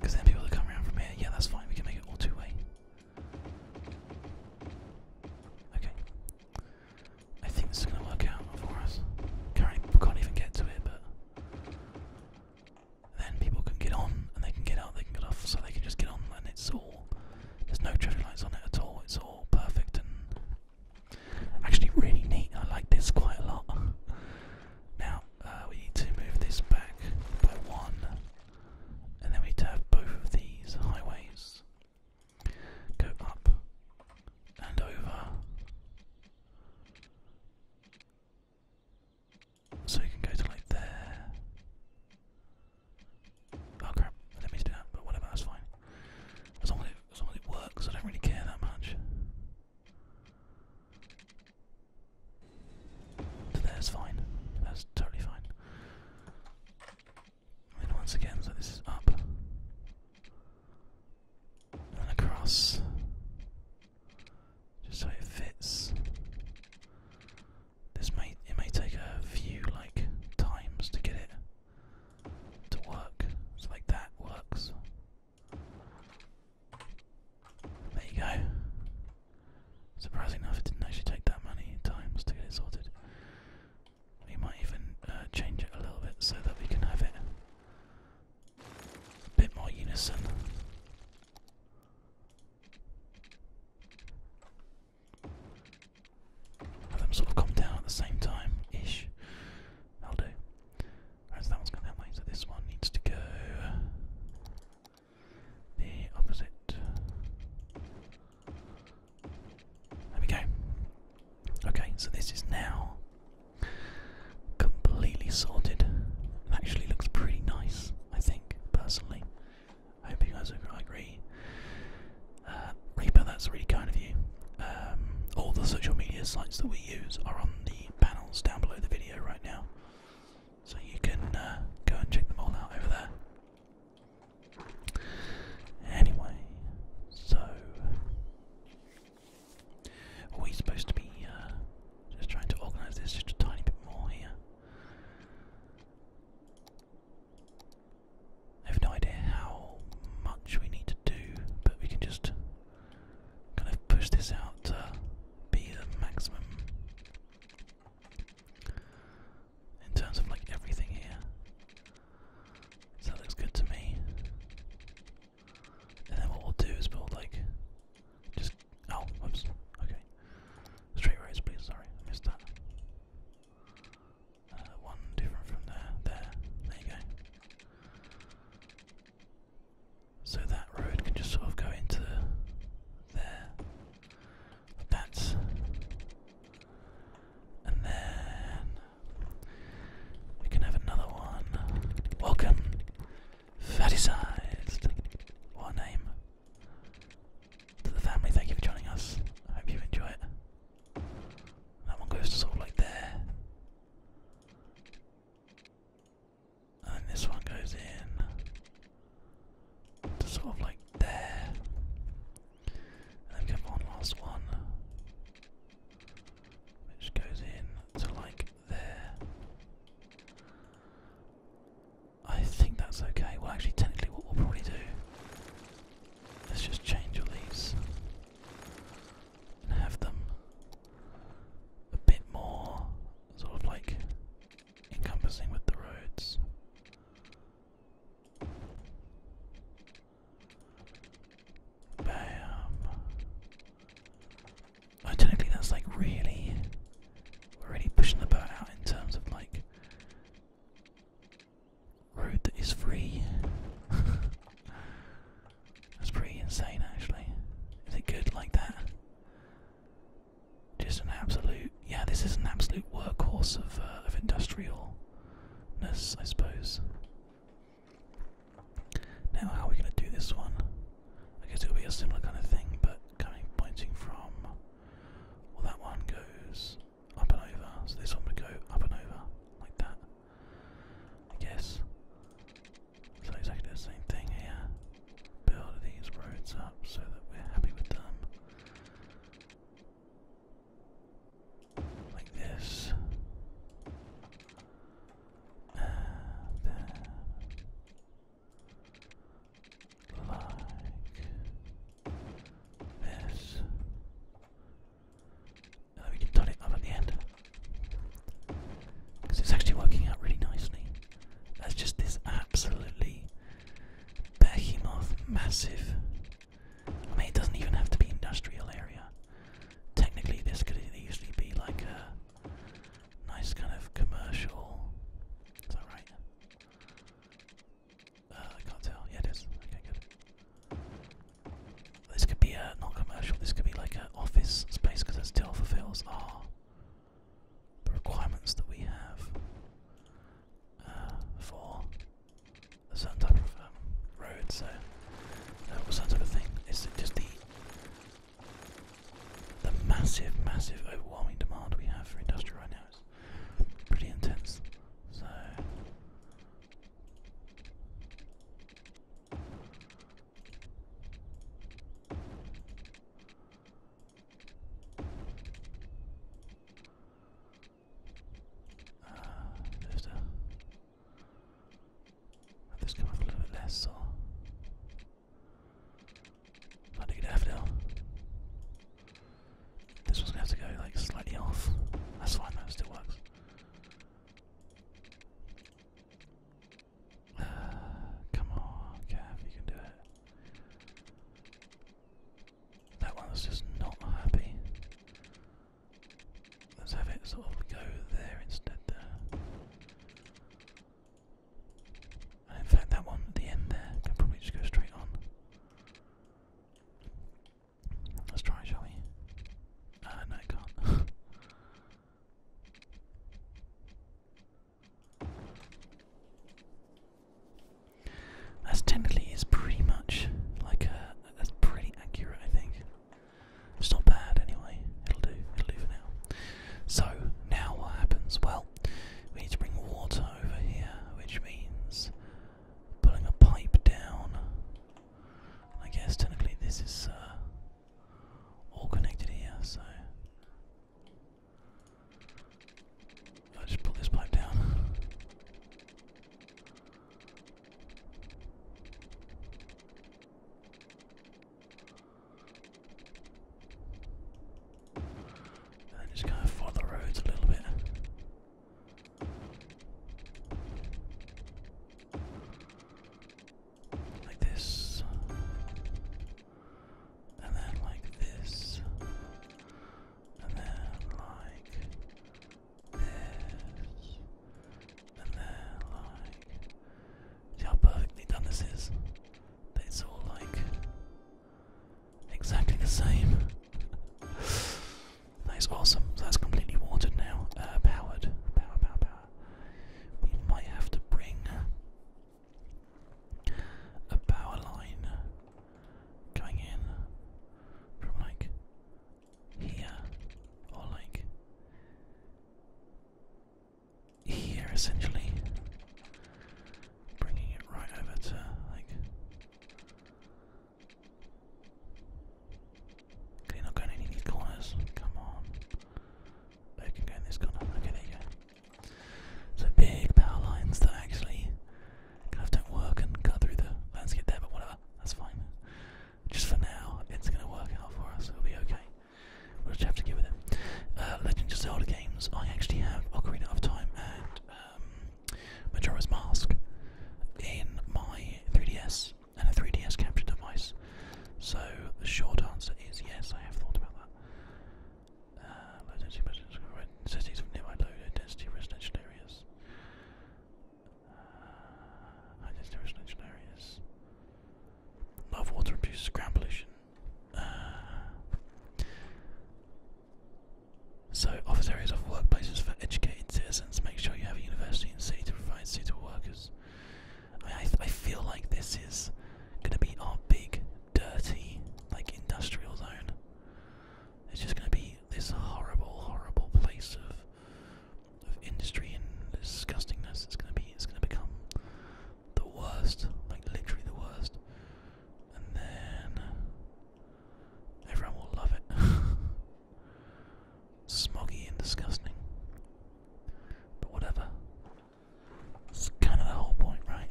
Because then people that come around from here, yeah, that's fine, we can make it all two way. Okay. I think this is going to work out for us. Currently, can't even get to it, but then people can get on and they can get out, they can get off, so they can just get on and it's all. There's no traffic lights on it at all, it's all perfect and actually really neat. I like this quite a lot. now, uh, we need to move this back by one, and then we need to have both of these highways go up and over. So you can go to like there. Oh crap, I did do that, but whatever, that's fine. As long as it, works, I don't really care that much. To there's fine. That's totally fine. And once again, so this is up. And across just so it fits. This may it may take a few like times to get it to work. So like that works. There you go. Surprising enough, it didn't actually take that many times to get it sorted. We might even uh, change it a little bit so that we can have it a bit more unison. Have them sort of come down at the same time ish. That'll do. so that one's that way, so this one needs to go the opposite. There we go. Okay, so this is now completely sorted. actually looks pretty nice, I think, personally. I hope you guys agree. Uh, Reaper, that's really kind of you. Um, all the social media sites that we use are on the panels down below the video right now. So you can uh, go and check them all out over there. Anyway, so we're supposed to be uh, just trying to organise this just a tiny bit more here. I have no idea how much we need to do, but we can just kind of push this out to be the maximum in terms of like everything here. So that looks good to me. And then what we'll do is we like just oh, oops. Okay. Straight roads, please. Sorry, I missed that. Uh, one different from there. There. There you go. So that road can just sort of go into there. Like And then we can have another one. Welcome Faticized. What name. To the family, thank you for joining us. I hope you enjoy it. That one goes to sort of like there. And this one goes in to sort of like there. And then one last one. Which goes in to like there. I think that's okay. Well, actually, technically, what we'll probably do. let just change all these and have them a bit more sort of like encompassing with the roads. Bam technically that's like really, we're really pushing the boat out in terms of like road that is free. that's pretty insane actually. Is it good like that? Just an absolute, yeah, this is an absolute workhorse of, uh, of industrialness, I suppose. Now, how are we going to do this one? I guess it'll be a similar kind of thing, but coming pointing from. Well, that one goes up and over, so this one would go up and over, like that. I guess. So exactly the same thing here. Build these roads up so that we're happy with them. Like this like this. And we can turn it up at the end. Because it's actually working out really nicely. That's just this absolutely behemoth, massive. I mean, it doesn't even have to be industrial area. Technically, this could easily be like a nice kind of commercial. Is that right? Uh, I can't tell. Yeah, it is. Okay, good. This could be a uh, not commercial. This could be like an office space because it still fulfills our the requirements that we have uh, for a certain type of um, road. So, uh, or certain type of thing. It's just the the massive, massive, overwhelming demand we have for industrial right now is pretty intense. So uh, just, uh, have this a little bit less, I to get have now. This one's gonna have to go like slightly off. That's fine, that still works. come on, Gav, you can do it. That one just not happy. Let's have it sort of go there instead there in fact, that one at the end there can probably just go straight on. Let's try, shall we? Ah, uh, can't. As technically is pretty much like a that's pretty accurate I think. It's not bad anyway. It'll do, it now. So now what happens? Well we need to bring water over here, which means pulling a pipe down. I guess technically this is uh, all connected here, so I'll just pull this pipe down. And then just kind of follow the roads a little bit. Like this. And then like this. And then like this. And then like how perfectly done this is? It's all like exactly the same. that is awesome. that's completely watered now. Uh, powered. We might have to bring a power line going in from like here or like here essentially, bringing it right over to like. Can you not go any of these corners? Come on. Oh, can go in this corner. Okay, there go. So big power lines that actually kind of don't work and cut through the landscape there, but whatever, that's fine. Just for now, it's going to work out for us, it'll be okay. We'll just have to get with it. Uh, Legend of Zelda games. I actually have Ocarina of Time and um, Majora's Mask in my 3DS and a 3DS capture device. So the short answer is yes, I have thought about that. Uh, low nearby low density residential areas. high uh, density residential areas. Love water and produces ground pollution. so, office areas of workplaces for educated citizens. Make sure you have a university in city to provide suitable workers. I, I feel like this is going to be our big, dirty, like industrial zone. It's just going to be this horrible, horrible place of of industry and disgustingness. It's going to be. It's going to become the worst, like literally the worst, and then everyone will love it. Smoggy and disgusting, but whatever. It's kind of the whole point, right?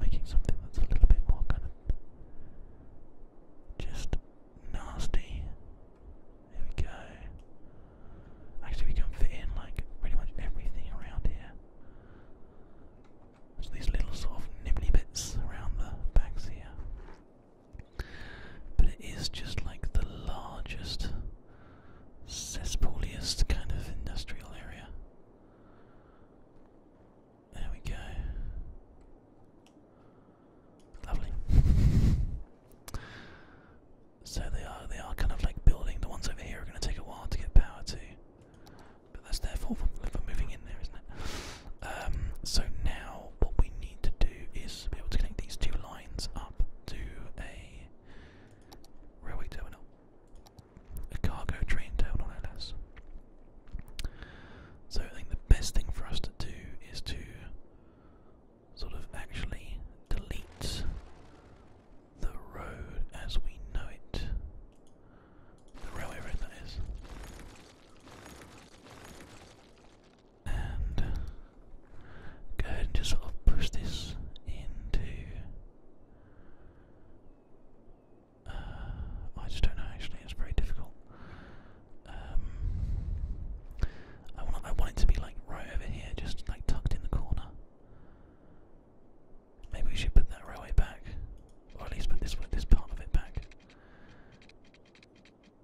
Making something that's a little bit more kind of just nasty. Here we go. Actually, we can fit in like pretty much everything around here. There's these little sort of bits around the backs here. But it is just like the largest, cesspooliest kind of industrial area. There we go. Lovely. so they are they are kind of like building. The ones over here are going to take a while to get power to. But that's their for moving in there, isn't it? Um, so now what we need to do is be able to connect these two lines up to a railway terminal. A cargo train terminal, So I think the best thing for us to do is to sort of actually delete the road as we know it. The railway road, that is. And go and just push this into. Uh, I just don't know. Actually, it's very difficult. Um, I want it to be like right over here, just like tucked in the corner. Maybe we should put that railway back, or at least put this part of it back.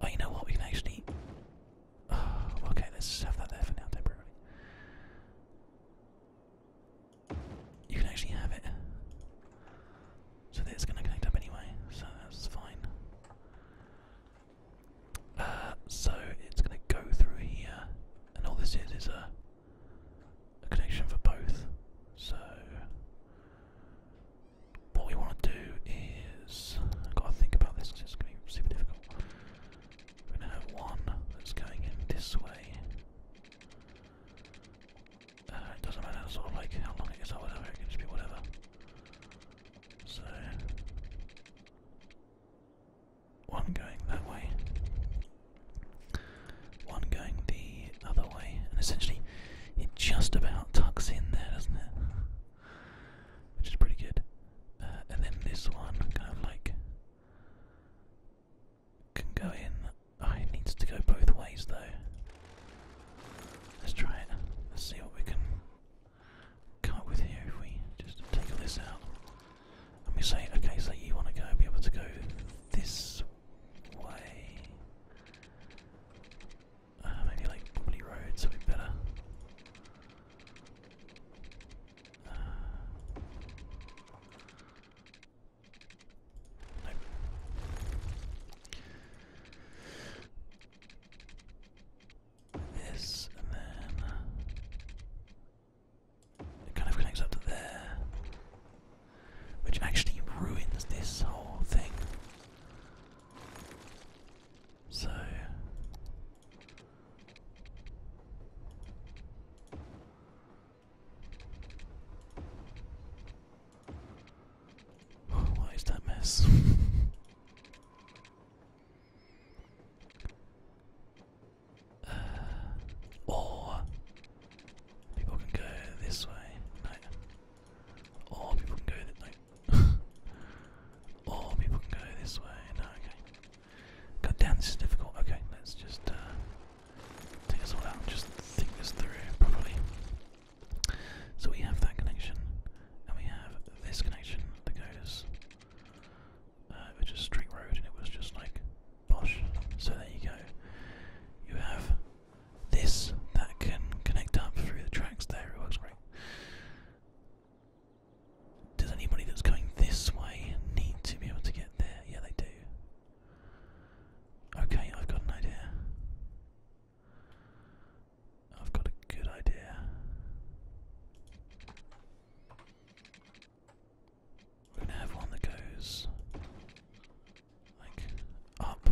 Oh, you know what? We can actually. okay, let's have that there for now temporarily. You can actually have it. So that going to connect up anyway, so that's fine. Uh, so it's going to go through here, and all this is is a a connection for both. So what we want to do is I've got to think about this because it's going to be super difficult. We're going to have one that's going in this way. Uh, it doesn't matter sort of like how long it is or whatever, it can just be whatever. So one going that way, one going the other way, and essentially it just about tucks in there, doesn't it? Which is pretty good. Uh, and then this one kind of like can go in. Oh, it needs to go both ways though. Let's try it. Let's see what we can come up with here if we just take this out. And we say, okay, so you want to go, be able to go this way. Uh, maybe like Wobbly Road's a bit better. Uh, this and then it kind of connects up to there. Which actually ruins this whole thing. So. Why is that mess? Uh, or people can go this way. No. Or people can go no. or people can go this way. No, okay. God damn, this is difficult. Okay, let's just uh, take this all out just think this through properly. So we have that connection, and we have this connection that goes uh, it was just straight road and it was just like posh. So there you go. You have this that can connect up through the tracks there, it works great. Does anybody that's going this way need to be able to get there? Yeah, they do. Okay, I've got an idea. I've got a good idea. We're gonna have one that goes like up,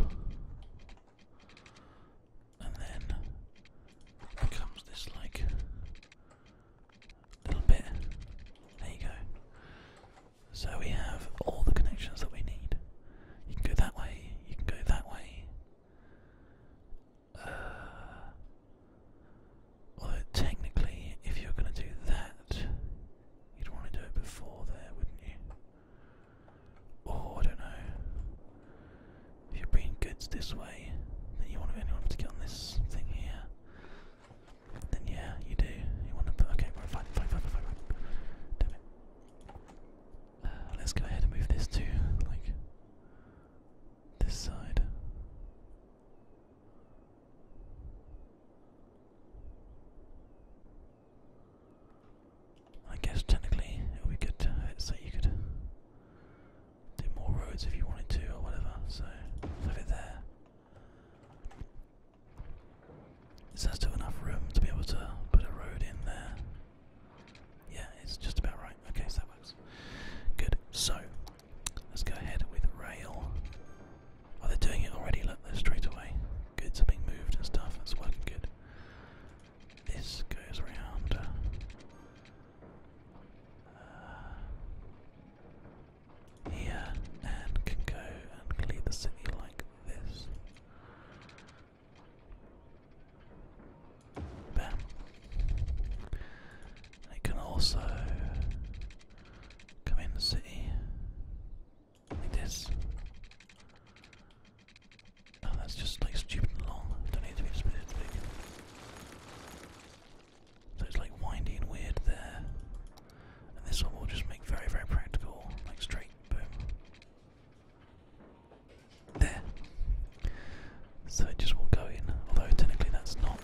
and then comes this like little bit. There you go. So we have all the connections that we need. You can go that way. You can go that way. Uh, Although technically, if you're going to do that, you'd want to do it before there, wouldn't you? Or I don't know. If you're bringing goods this way, then you want to anyone to get on this thing here. Then yeah, you do. You want to put okay, fine, fine, fine, fine, fine. Damn it. Uh, let's go ahead and move this to like this side. I guess technically it would be good to you could do more roads if you wanted to or whatever, so leave it there. Is there still enough room to be able to put a road in there? Yeah, it's just about right. Okay, so that works. Good. So, Let's go ahead with rail. Oh, they're doing it already, look, they straight away. Goods are being moved and stuff, that's working good. This goes round. Uh, here, and can go and clear the city like this. Bam. It can also come in the city like this. Oh, that's just like stupid long. Don't need to be specific. So it's like windy weird there. And this one will just make very, very practical, like straight, boom. There. So it just will go in, although technically that's not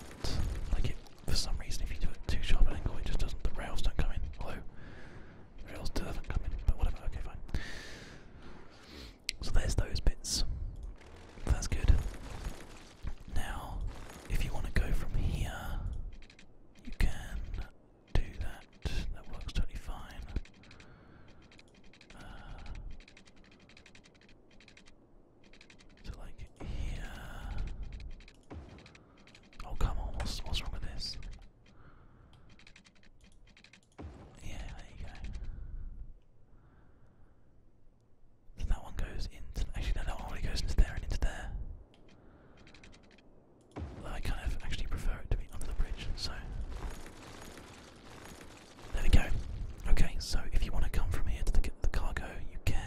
like it for some reason, if you do it too sharp an angle, it just doesn't. The rails don't come in. Although rails still not come in, but whatever. Okay, fine. So there's those bits. That's good. Now, if you want to go from here, you can do that. That works totally fine. Uh, so like here, Oh come on, what's, wrong with this? Yeah, there you go. So that one goes into, actually no, that one really goes into there and into there. I kind of actually prefer it to be under the bridge, so. There we go. Okay, so if you want to come from here to the, the cargo, you can.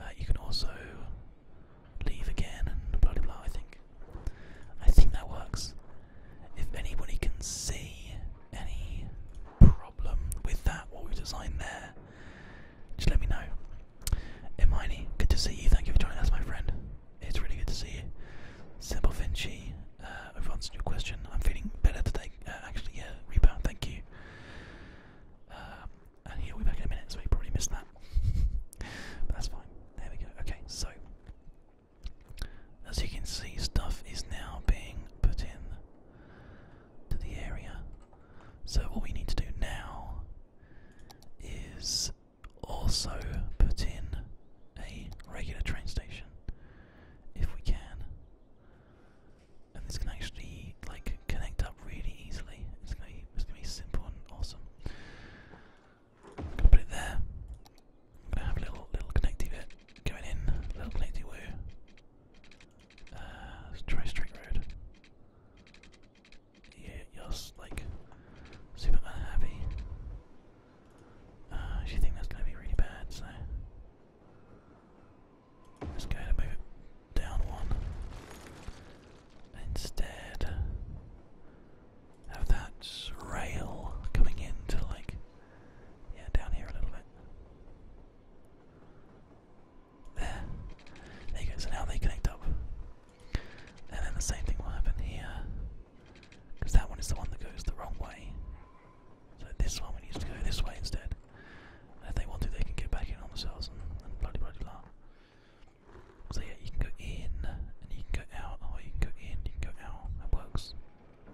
Uh, you can also leave again and blah blah blah. I think. I think that works. If anybody can see any problem with that, what we've designed there, just let me know. Hermione, good to see you. Thank you for joining us, my friend. It's really good to see you. Simple Vinci, uh, I've answered your question. I'm feeling better today. Uh, actually, yeah, rebound. Thank you. Uh, and he'll be back in a minute, so he probably missed that. but that's fine. There we go. Okay, so as you can see, stuff is now being put in to the area. So what we need to do now is also put in a regular train station if we can and this can actually like connect up really easily. It's gonna be, it's gonna be simple and awesome. i put it there. i have a little little connecty bit going in, little connecty woo. Uh, let's try straight road. Yeah, you're like super unhappy. Uh, think that's gonna be really bad. So. Just going to move down one. Instead, have that rail coming in like, yeah, down here a little bit. There. There you go, so now they connect up. And then the same thing will happen here. Because that one is the one that goes the wrong way. So this one we need to go this way instead. And if they want to, they can get back in on themselves bloody bloody blah. So yeah, you can go in and you can go out, or you can go in, you go out. That works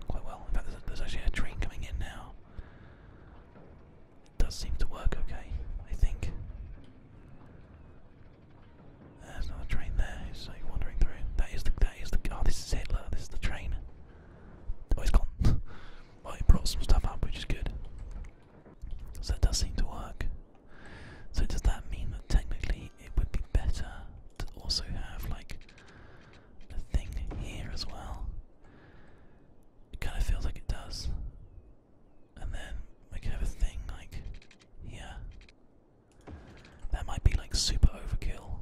quite well. In fact, there's, actually a train coming in now. does seem to work okay, I think. There's another train there. It's like wandering through. That is the. That is the. Oh, this is Hitler. This is the train. Oh, gone. well, it brought some stuff up, which is good. So it does seem to work. So does that mean that technically it would be better to also have like the thing here as well? It kind of feels like it does. And then we could have a thing like yeah, That might be like super overkill.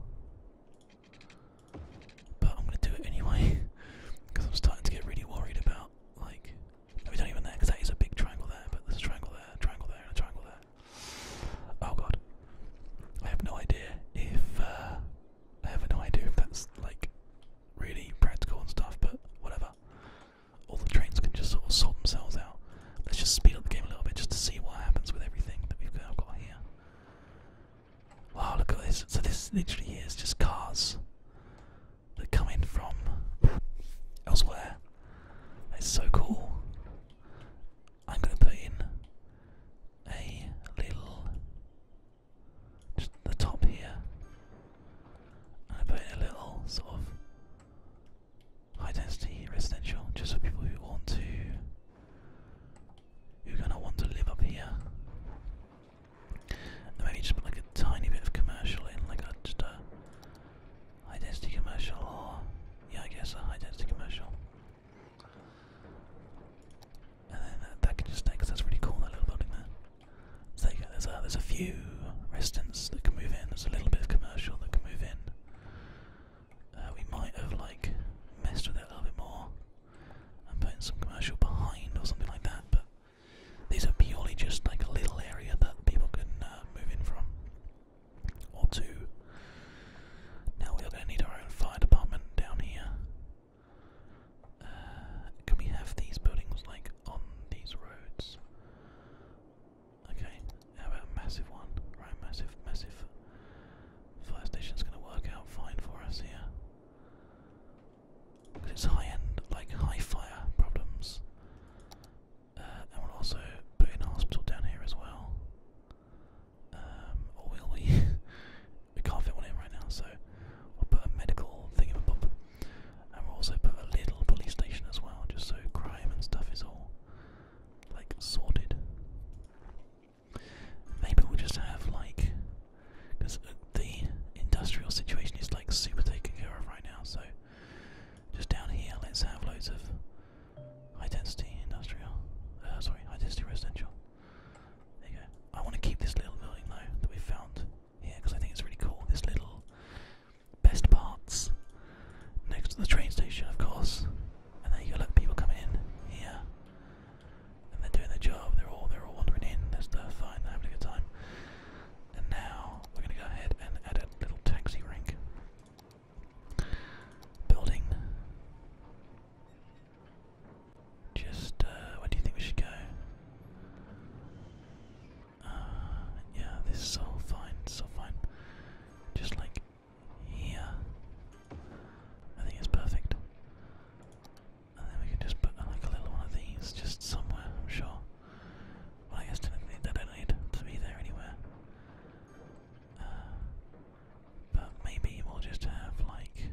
But I'm gonna do it anyway because I'm starting to get really worried about like we don't even there because that is a big triangle there, but there's a triangle there, triangle there, triangle there. Oh god, I have no idea if uh, I have no idea if that's like really practical and stuff, but whatever. All the trains can just sort of sort themselves out. Let's just speed up the game a little bit just to see what happens with everything that we've got here. Wow, look at this. So this literally is just cars that come in from elsewhere. It's so cool. I'm going to put in a little, just the top here, I put in a little sort of high density residential just for people who want to, who are going to want to live up here maybe just put like a tiny bit of commercial in, like a, just a high commercial, or yeah, I guess a high commercial. And then that, that can just stay because that's really cool, that little building there. So there's a, there's a few residents that can move in, there's a little bit of commercial that can move in. Uh, we might have like messed with it a little bit more and put some commercial behind or something like that, but these are purely just like a little area that people can uh, move in from, or to. Now we are going to need our own fire department down here. Uh, can we have these buildings like on these roads? Okay, how about a massive one? Right, massive, massive. Fire station's going to work out fine for us here. Because it's high-end, like high-fire problems. Uh, and we'll also put in a hospital down here as well. Um, or will we? we can't fit one in right now, so we'll put a medical thing up above. And we'll also put a little police station as well, just so crime and stuff is all, like, sorted. Maybe we'll just have, like, because the industrial situation is like super taken care of right now. So just down here, let's have loads of high density industrial. Uh, sorry, high density residential. There you go. I want to keep this little building though that we found here because I think it's really cool. This little best parts next to the train station, of course. And there you go. Look, people come in here, and they're doing their job. They're all they're all wandering in. That's fine. They're having a good time. And now we're going to go ahead and add a little taxi rink. Building. Just, uh, where do you think we should go? Uh, yeah, this is all fine, so fine. Just like here. I think it's perfect. And then we can just put like a little one of these just somewhere, I'm sure. I guess they don't need to be there anywhere. Uh, but maybe we'll just have like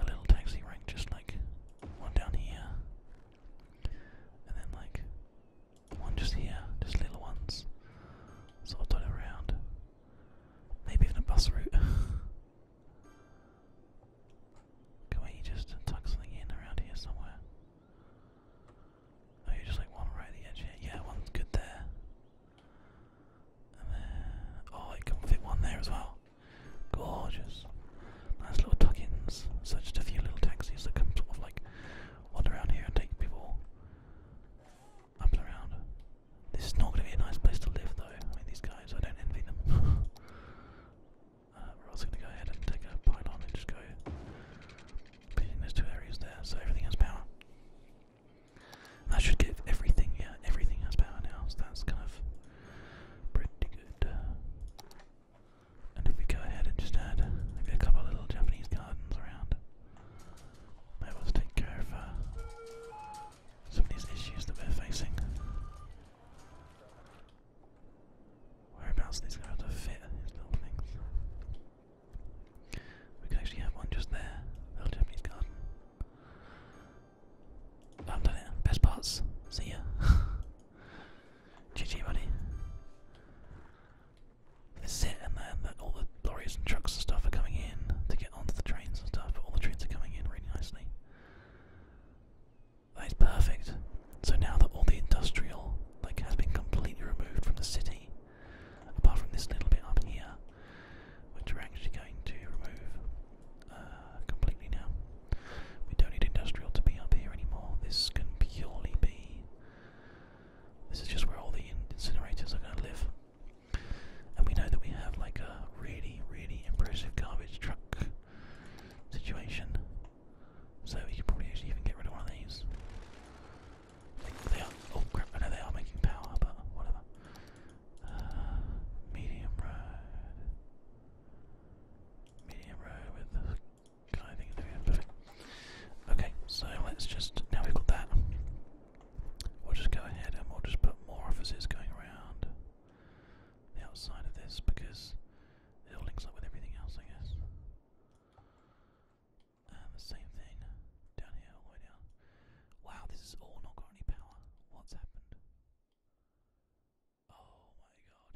a little taxi rank, just like one down here, and then like one just here, just little ones, sort of around. Maybe even a bus route. Can we just tuck something in around here somewhere? Oh, you just like one right at the edge here. Yeah, one's good there. And then, oh, I can fit one there as well. Gorgeous. Nice little tuck-ins. So just a few little taxis that can sort of like wander around here and take people up and around. This is not going to be a nice place to live though. I mean, these guys, I don't envy them. Uh, we're also going to go ahead and take a pylon and just go between two areas there, so everything has power. And should give everything, yeah, everything has power now, that's kind of pretty good. And if we go ahead and just add a couple of little Japanese gardens around, maybe will take care of uh, some of these issues that we're facing. Whereabouts these guys have to fit these little things? We could actually have one just there, I've done it. Best parts. See ya. GG, buddy. This is it, and then the, all the lorries and trucks and stuff are coming in to get onto the trains and stuff, all the trains are coming in really nicely. That's perfect. So now that all the industrial like has been completely removed from the city, apart from this little bit up here, which we're actually going to remove uh, completely now. We don't need industrial to be up here anymore. This can purely be. This is just where all the incinerators are going to live. And we know that we have like a really, really impressive garbage truck situation. So we could probably even get rid of one of these. they are. Oh crap! I know they are making power, but whatever. Uh, medium road. Medium road with the Okay, so let's just now we've got that. We'll just go ahead and we'll just put more offices going around the outside of this because it all links up with everything else, I guess. Uh, the same thing down here, Wow, this is all not got any power. What's happened? Oh my god,